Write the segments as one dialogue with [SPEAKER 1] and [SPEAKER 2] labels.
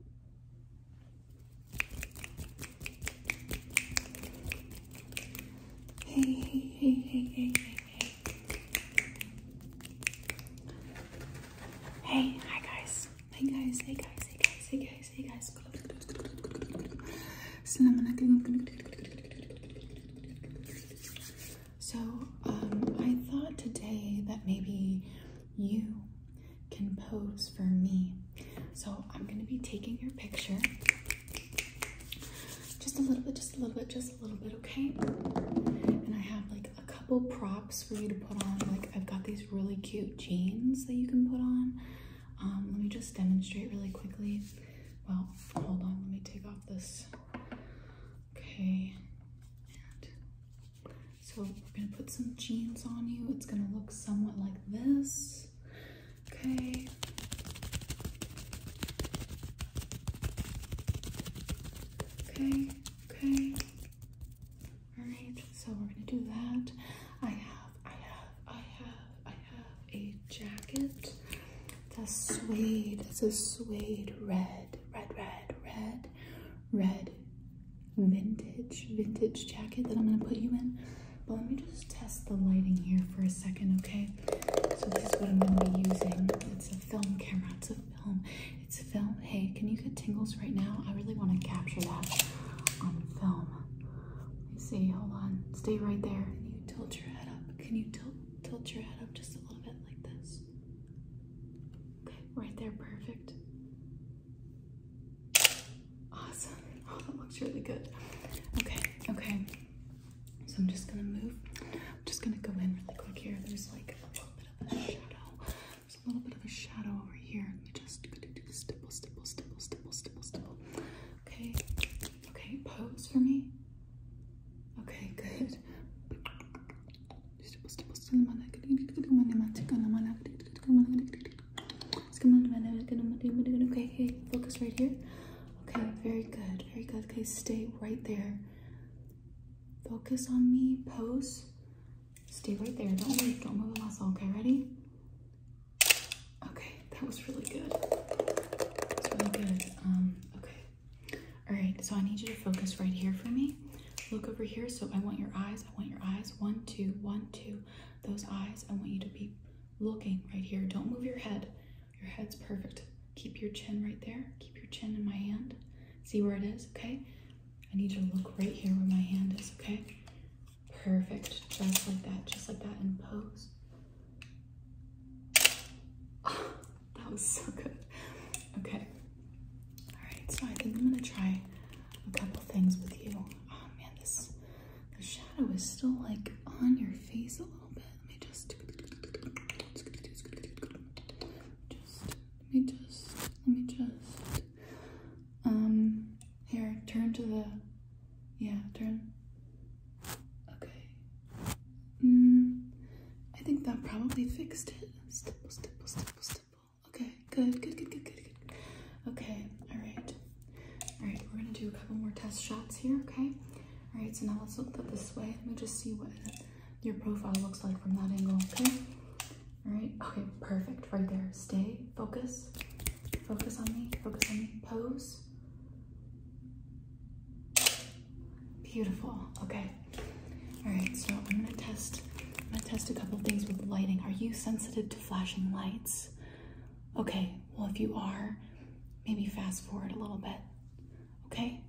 [SPEAKER 1] Hey, hey, hey, hey, hey, hey, hey. Hey, hi guys. Hey guys, hey guys, hey guys, hey guys, hey guys. So, um, I thought today that maybe you can pose for me. So I'm gonna be taking your picture. Just a little bit, just a little bit, just a little bit, okay? And I have like a couple props for you to put on. Like I've got these really cute jeans that you can put on. Um, let me just demonstrate really quickly. Well, hold on, let me take off this. Okay, so we're gonna put some jeans on you. It's gonna look somewhat like this. Okay. Okay, okay. Alright, so we're gonna do that. I have, I have, I have, I have a jacket. It's a suede, it's a suede red, red, red, red red vintage, vintage jacket that I'm going to put you in. But let me just test the lighting here for a second, okay? So this is what I'm going to be using. It's a film camera. It's a film. It's a film. Hey, can you get tingles right now? I really want to capture that on film. Let see. Hold on. Stay right there. Can you tilt your head up? Can you tilt, tilt your head up just a little bit like this? Okay, right there. Perfect. Awesome. Oh, that looks really good. Okay, okay. So I'm just gonna move. I'm just gonna go in really quick here. There's like a little bit of a shadow. There's a little bit of a shadow over here. Let me just stipple, stipple, stipple, stipple, stipple, stipple. Okay, okay, pose for me. Okay, good on, on, Okay, okay, focus right here. Okay, very good, very good. Okay, stay right there. Focus on me, pose. Stay right there. Don't move, don't move a muscle. Okay, ready? Okay, that was really good. That's really good. Um, okay. All right, so I need you to focus right here for me. Look over here. So I want your eyes. I want your eyes. One, two, one, two. Those eyes. I want you to be looking right here. Don't move your head. Your head's perfect. Keep your chin right there. Keep your chin in my hand. See where it is, okay? I need to look right here where my hand is, okay? Perfect. Just like that. Just like that. And pose. that was so good. Okay. Alright, so I think I'm gonna try a couple things with you. Oh man, this the shadow is still like on your face a little bit. Let me just let me just let me just um here turn to the yeah turn okay mm, I think that probably fixed it Okay, good, good, good, good, good, good. Okay, all right. All right, we're gonna do a couple more test shots here, okay? All right, so now let's look up this way. Let me just see what your profile looks like from that angle, okay? All right, okay, perfect, right there. Stay, focus, focus on me, focus on me, pose. Beautiful, okay. All right, so I'm gonna test. I'm gonna test a couple things with lighting. Are you sensitive to flashing lights? Okay. Well, if you are, maybe fast forward a little bit. Okay.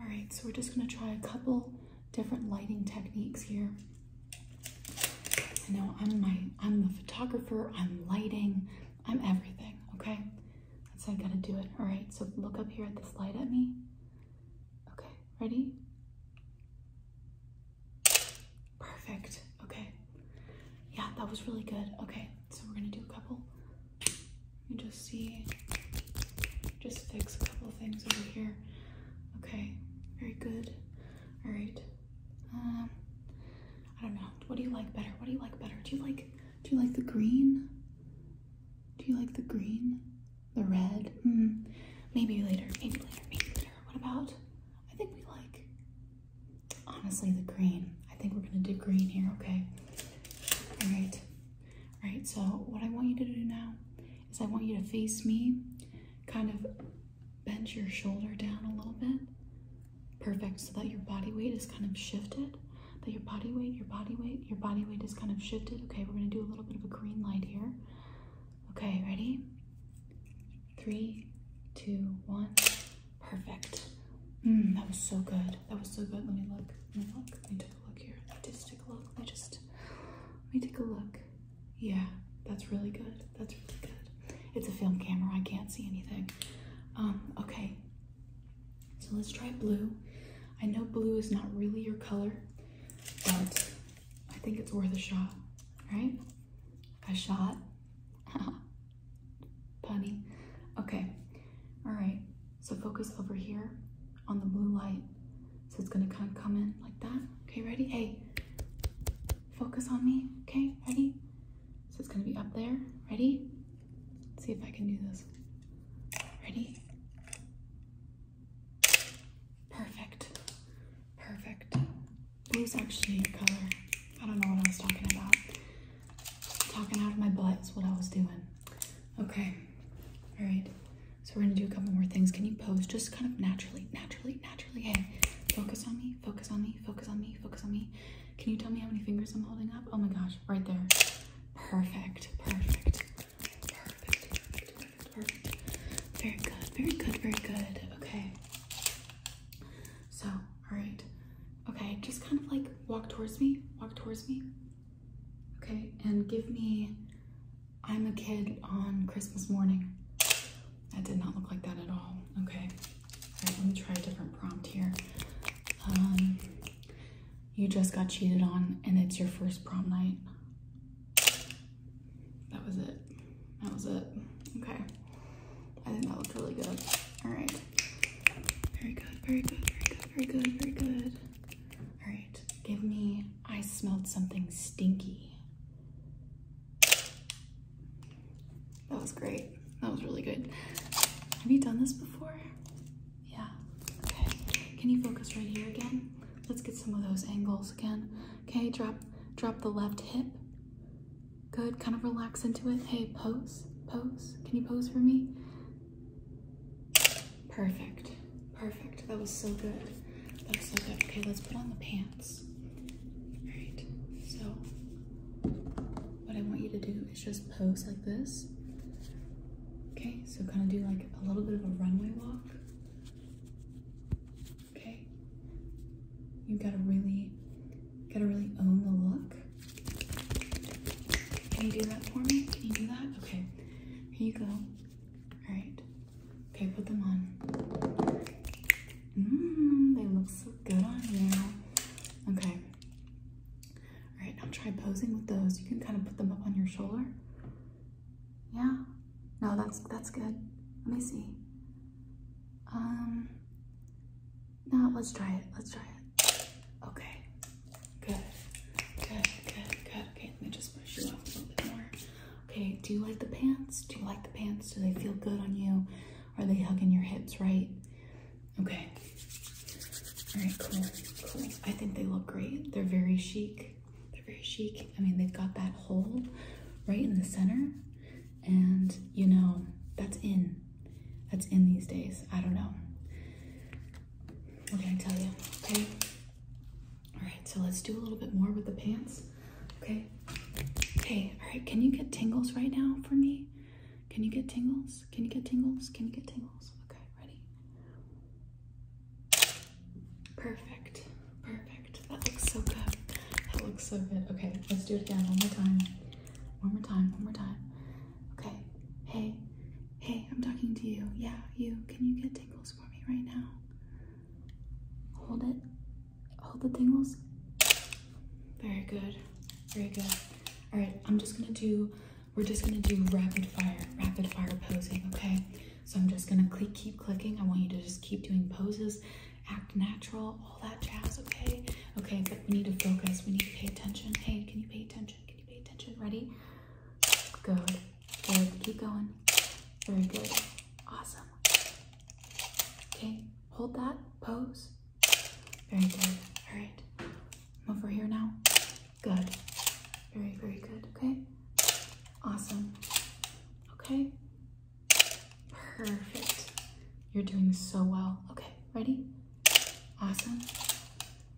[SPEAKER 1] All right. So we're just gonna try a couple different lighting techniques here. I know I'm my I'm the photographer. I'm lighting. I'm everything. Okay. That's how I gotta do it. All right. So look up here at this light at me. Okay, ready? Perfect. Okay. Yeah, that was really good. Okay, so we're gonna do a couple. You just see, just fix a couple things over here. Okay, very good. All right. Um, I don't know. What do you like better? What do you like better? Do you like, do you like the green? Do you like the green? The red? Mm, maybe later, maybe later, maybe later. What about? I think we like, honestly, the green. I think we're gonna do green here, okay? All right, all right, so what I want you to do now is I want you to face me, kind of bend your shoulder down a little bit. Perfect, so that your body weight is kind of shifted, that your body weight, your body weight your body weight is kind of shifted. Okay, we're gonna do a little bit of a green light here. Okay, ready? Three, two, one. Perfect. Mm, that was so good. That was so good. Let me look. Let me look. Let me take a look here. just take a look. Let just let me take a look. Yeah, that's really good. That's really good. It's a film camera. I can't see anything. Um, okay. So let's try blue. I know blue is not really your color, but I think it's worth a shot, right? A shot? Punny. Okay, all right, so focus over here on the blue light. So it's gonna kind of come in like that. Okay, ready? Hey, focus on me, okay, ready? So it's gonna be up there, ready? see if I can do this. Ready? Perfect. Perfect. was actually a color. I don't know what I was talking about. Talking out of my butt is what I was doing. Okay. All right. So we're gonna do a couple more things. Can you pose just kind of naturally, naturally, naturally? Hey, focus on me, focus on me, focus on me, focus on me. Can you tell me how many fingers I'm holding up? Oh my gosh, right there. Perfect, perfect. Very good, very good, very good. Okay. So, all right. Okay, just kind of like walk towards me, walk towards me. Okay, and give me I'm a kid on Christmas morning. That did not look like that at all. Okay, all right, let me try a different prompt here. Um, you just got cheated on and it's your first prom night. That was it. That was it. Okay. I think that looked really good. All right. Very good, very good, very good, very good, very good. All right, give me, I smelled something stinky. That was great. That was really good. Have you done this before? Yeah. Okay. Can you focus right here again? Let's get some of those angles again. Okay, drop drop the left hip. Good. Kind of relax into it. Hey, pose. Pose. Can you pose for me? Perfect. Perfect. That was so good. That was so good. Okay, let's put on the pants. Alright. So what I want you to do is just pose like this. Okay, so kind of do like a little bit of a runway walk. Okay, you gotta really, gotta really own the look. Can you do that for me? Can you do that? Okay, here you go. All right. Okay, put them on. Mmm, they look so good on you. Okay. All right, now try posing with those. You can kind of put them up on your shoulder. Yeah. No, that's that's good. Let me see. Um. No, let's try it. Let's try it. Okay. Good. Good. Good. Good. Okay. Let me just push you off a little bit more. Okay. Do you like the pants? Do you like the pants? Do they feel good on you? Are they hugging your hips right? Okay. Very cool, cool. I think they look great. They're very chic. They're very chic. I mean, they've got that hole right in the center, and you know, that's in. That's in these days. I don't know. What can I tell you? Okay. All right, so let's do a little bit more with the pants. Okay. Okay. all right, can you get tingles right now for me? Can you get tingles? Can you get tingles? Can you get tingles? Okay, ready? Perfect, perfect. That looks so good. That looks so good. Okay, let's do it again one more time. One more time, one more time. Okay, hey, hey, I'm talking to you. Yeah, you. Can you get tingles for me right now? Hold it. Hold the tingles. Very good, very good. All right, I'm just gonna do we're just gonna do rapid fire, rapid fire posing, okay? So I'm just gonna keep clicking. I want you to just keep doing poses, act natural, all that jazz, okay? Okay, but we need to focus. We need to pay attention. Hey, can you pay attention? Can you pay attention? Ready? Good. Good. Keep going. Very good. Awesome. Okay, hold that pose. Very good. All right. I'm over here now. Good. Very, very good. Okay. Awesome. Okay. Perfect. You're doing so well. Okay. Ready? Awesome.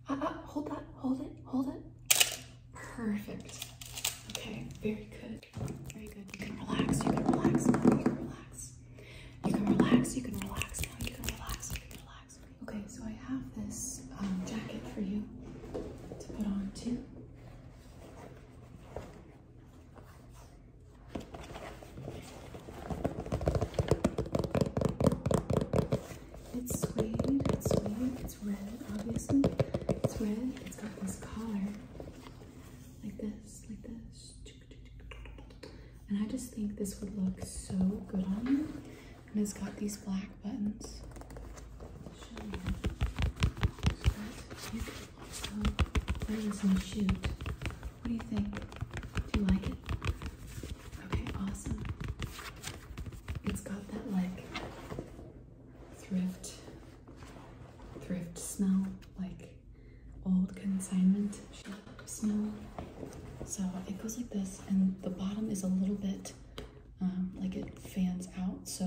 [SPEAKER 1] Uh, uh, hold that. Hold it. Hold it. Perfect. Okay. Very good. Very good. You can relax. You can relax. You can relax. You can relax. You can relax. You can relax. You can relax. Okay, so I have this um, jacket for you to put on too. It's suede, it's suede, it's red, obviously. It's red, it's got this collar like this, like this. And I just think this would look so good on you and it's got these black buttons. What do you think? Do you like it? Okay, awesome. It's got that like thrift, thrift smell, like old consignment shop smell. So it goes like this, and the bottom is a little bit um, like it fans out. So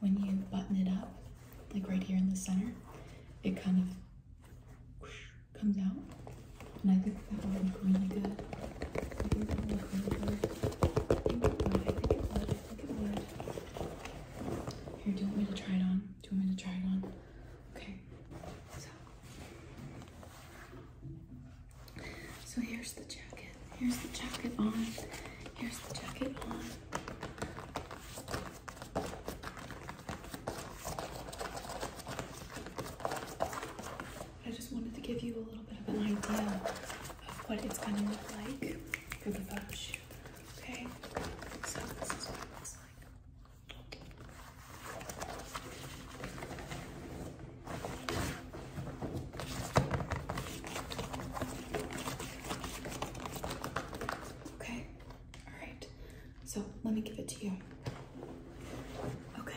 [SPEAKER 1] when you button it up, like right here in the center, it kind of comes out. And I think that would look really good. Here, do you want me to try it on? Do you want me to try it on? Okay. So here's the jacket. Here's the jacket on. Here's the jacket on. I just wanted to give you a little bit of an idea of what it's going to look like for the photo shoot. Okay? So this is what it looks like. Okay, all right. So let me give it to you. Okay,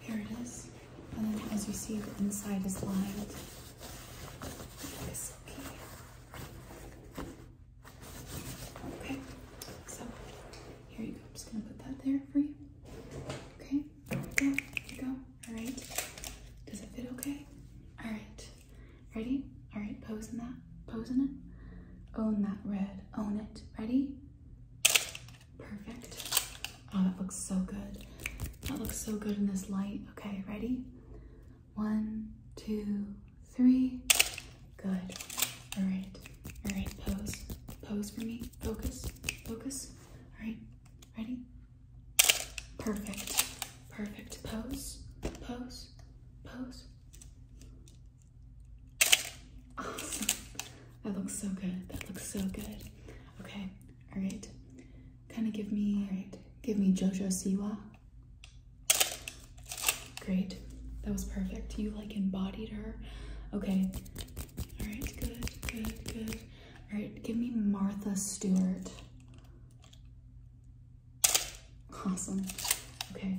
[SPEAKER 1] here it is. And then as you see, the inside is lined. This Okay, so here you go. I'm just gonna put that there for you. Okay, yeah, you go. All right. Does it fit okay? All right. Ready? All right, pose in that. Pose in it. Own that red. Own it. Ready? Perfect. Oh, that looks so good. That looks so good in this light. Okay, ready? One, two, three. Good. All right. All right, pose. Pose for me focus, focus. All right, ready? Perfect, perfect. Pose, pose, pose. Awesome. That looks so good. That looks so good. Okay, all right. Kind of give me, give me JoJo Siwa. Great, that was perfect. You like embodied her. Okay, all right, good, good, good. All right, give me Martha Stewart. Awesome. Okay,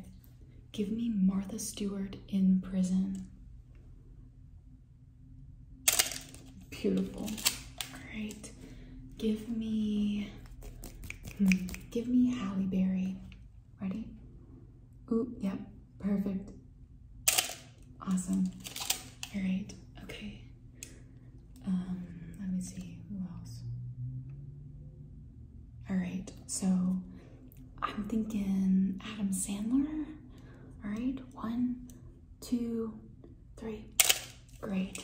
[SPEAKER 1] give me Martha Stewart in prison. Beautiful. All right, give me, hmm, give me Halle Berry. Ready? Ooh, yep, perfect. Awesome. All right, okay. Um, let me see, who else? All right, so I'm thinking Adam Sandler. All right, one, two, three. Great.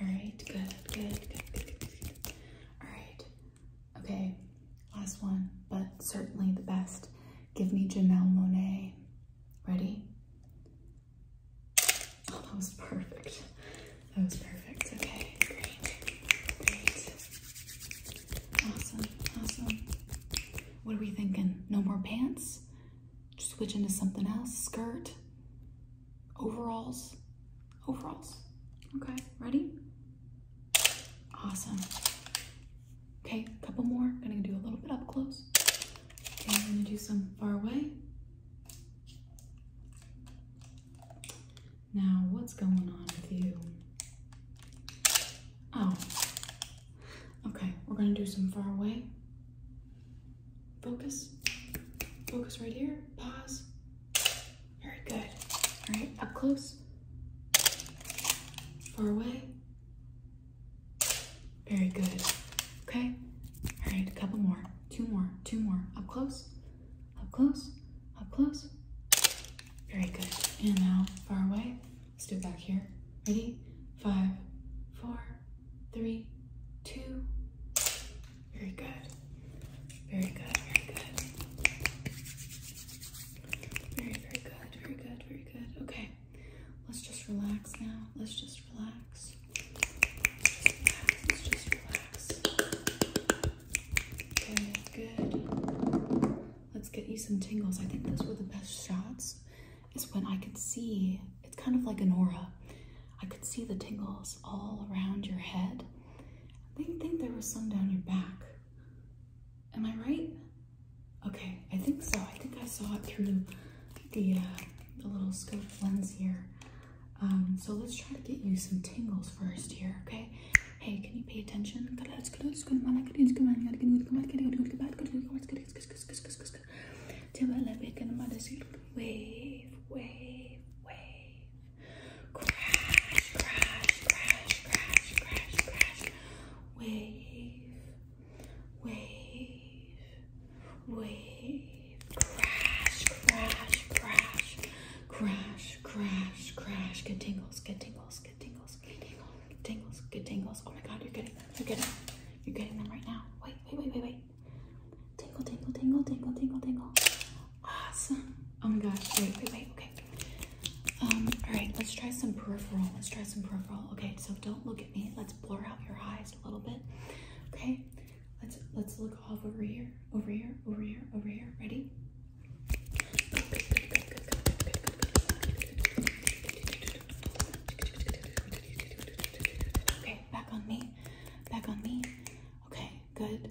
[SPEAKER 1] All right, good, good, good, good, good, good. All right, Okay, last one, but certainly the best. Give me Janelle Monet. Ready? Oh, that was perfect. That was perfect. Okay, great. Great. Awesome, awesome. What are we thinking? No more pants? switch into something else? Skirt? Overalls? Overalls. Okay, ready? Awesome. Okay, a couple more. gonna do a little bit up close. Okay, gonna do some far away. Now, what's going on with you? Oh. Okay, we're gonna do some far away. Focus. Focus right here. Pause. Very good. All right, up close. Far away. Very good. Okay. All right, a couple more. Two more, two more. Up close, up close, up close. Very good. And now far away. Let's do it back here. Ready? Five, four, three, two. Very good. Very good, very good. Very, very good. Very good. Very good. Okay. Let's just relax now. Let's just relax. Let's just relax. Good, good. Let's get you some tingles. I think those were the best shots. Is when I could see it's kind of like an aura. I could see the tingles all around your head. I think, think there was some down your back. Am I right? Okay, I think so. I think I saw it through the, uh, the little scope lens here. Um, so let's try to get you some tingles first here, okay? Hey, can you pay attention? Wave, wave, wave. Crash, crash, crash, crash, crash, crash. Wave, wave, wave. Crash, crash, crash, crash, crash, crash. Good tingles, good tingles, good tingles, good tingles, good tingles, good tingles. Oh my god, you're getting them, you're getting them. You're getting them right now. Wait, wait, wait, wait, wait. Tingle, tingle, tingle, tingle, tingle, tingle. Awesome. Oh my gosh, wait, wait, wait. Um, all right, let's try some peripheral. Let's try some peripheral. Okay, so don't look at me. Let's blur out your eyes a little bit. Okay. Let's let's look off over here, over here, over here, over here. Ready? Okay, back on me. Back on me. Okay, good.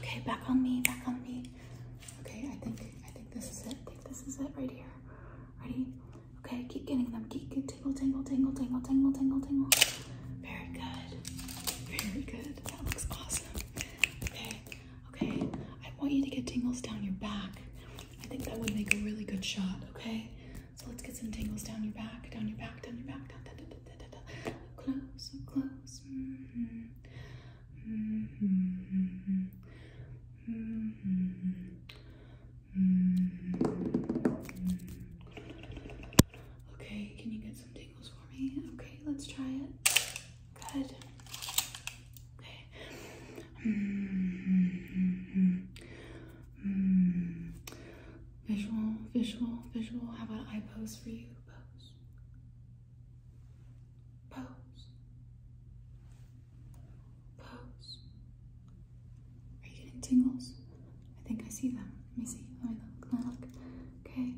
[SPEAKER 1] Okay, back on me, back on me. Okay, I think I think this is it. I think this is it right here. Ready? Okay, keep getting them. Keep, keep tingle, tingle, tingle, tingle, tingle, tingle, tingle. Very good. Very good. That looks awesome. Okay, okay. I want you to get tingles down your back. I think that would make a really good shot, okay? So let's get some tingles down your back, down your back, down your back, down, down, down. down. Close, close. Mm-hmm. Mm-hmm. Mm-hmm. Mm-hmm. Okay, can you get some tingles for me? Okay, let's try it. Good. Okay. Mm-hmm. Mm-hmm. mm-hmm. Visual, visual, visual. How about I pose for you? Pose pose, pose. Are you getting tingles? I think I see them. Let me see. Let me look. Let me look. Okay.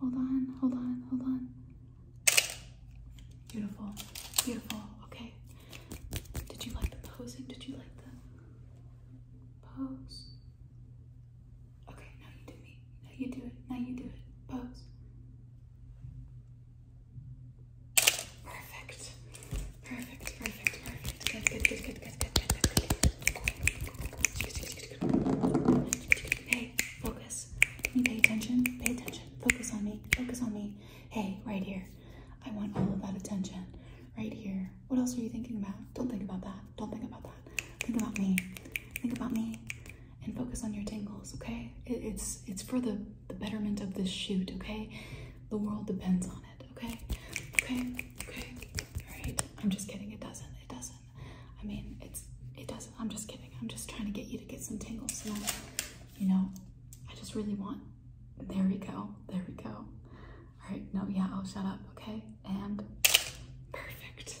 [SPEAKER 1] Hold on. Hold on. Hold on. Beautiful. Beautiful. Okay. Did you like the posing? Did you like the pose? Okay, now you do me. Now you do it. Now you do it. Pose. Perfect. Perfect, perfect, perfect. Good, good, good, good, good, good, good, good. Hey, focus. Can you pay attention? Pay attention. Focus on me. Focus on me. Hey, right here. I want all of that attention. Right here. What else are you thinking about? Don't think about that. Don't think about that. Think about me. Think about me and focus on your tingles, okay? it's it's for the, the betterment of this shoot, okay? The world depends on it, okay? Okay, okay. Alright. I'm just kidding, it doesn't, it doesn't. I mean it's it doesn't. I'm just kidding. I'm just trying to get you to get some tingles. So, you know, I just really want there we go. There we go. Alright, no, yeah, I'll shut up, okay? And perfect.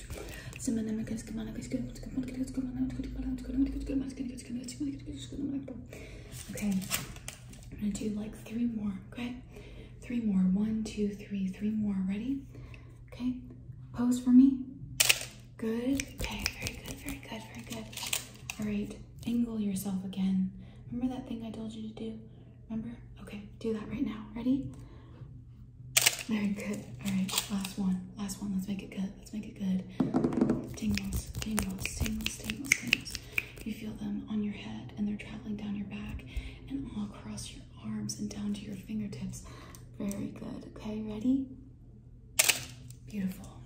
[SPEAKER 1] Okay. I'm gonna do like three more, okay? Three more. One, two, three, three more. Ready? Okay. Pose for me. Good. Okay, very good, very good, very good. All right, angle yourself again. Remember that thing I told you to do? Remember? Okay, do that right now. Ready? Very good. All right, last one. Last one. Let's make it good. Let's make it good. Tingles, tingles, tingles, tingles, tingles. You feel them on your head and they're traveling down your back and all across your arms and down to your fingertips. Very good. Okay, ready? Beautiful.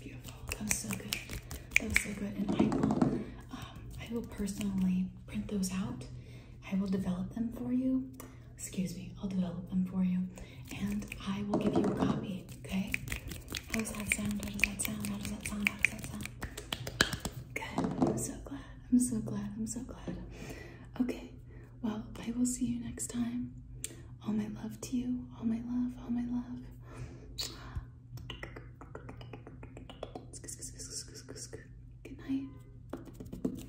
[SPEAKER 1] Beautiful. That was so good. That was so good. And I will, um, I will personally print those out. I will develop them for you. Excuse me, I'll develop them for you. And I will give you a copy, okay? How does that sound? How does that sound? How does that sound? How does that sound? Good. I'm so glad. I'm so glad. I'm so glad. Okay. Well, I will see you next time. All my love to you. All my love. All my love. Good night.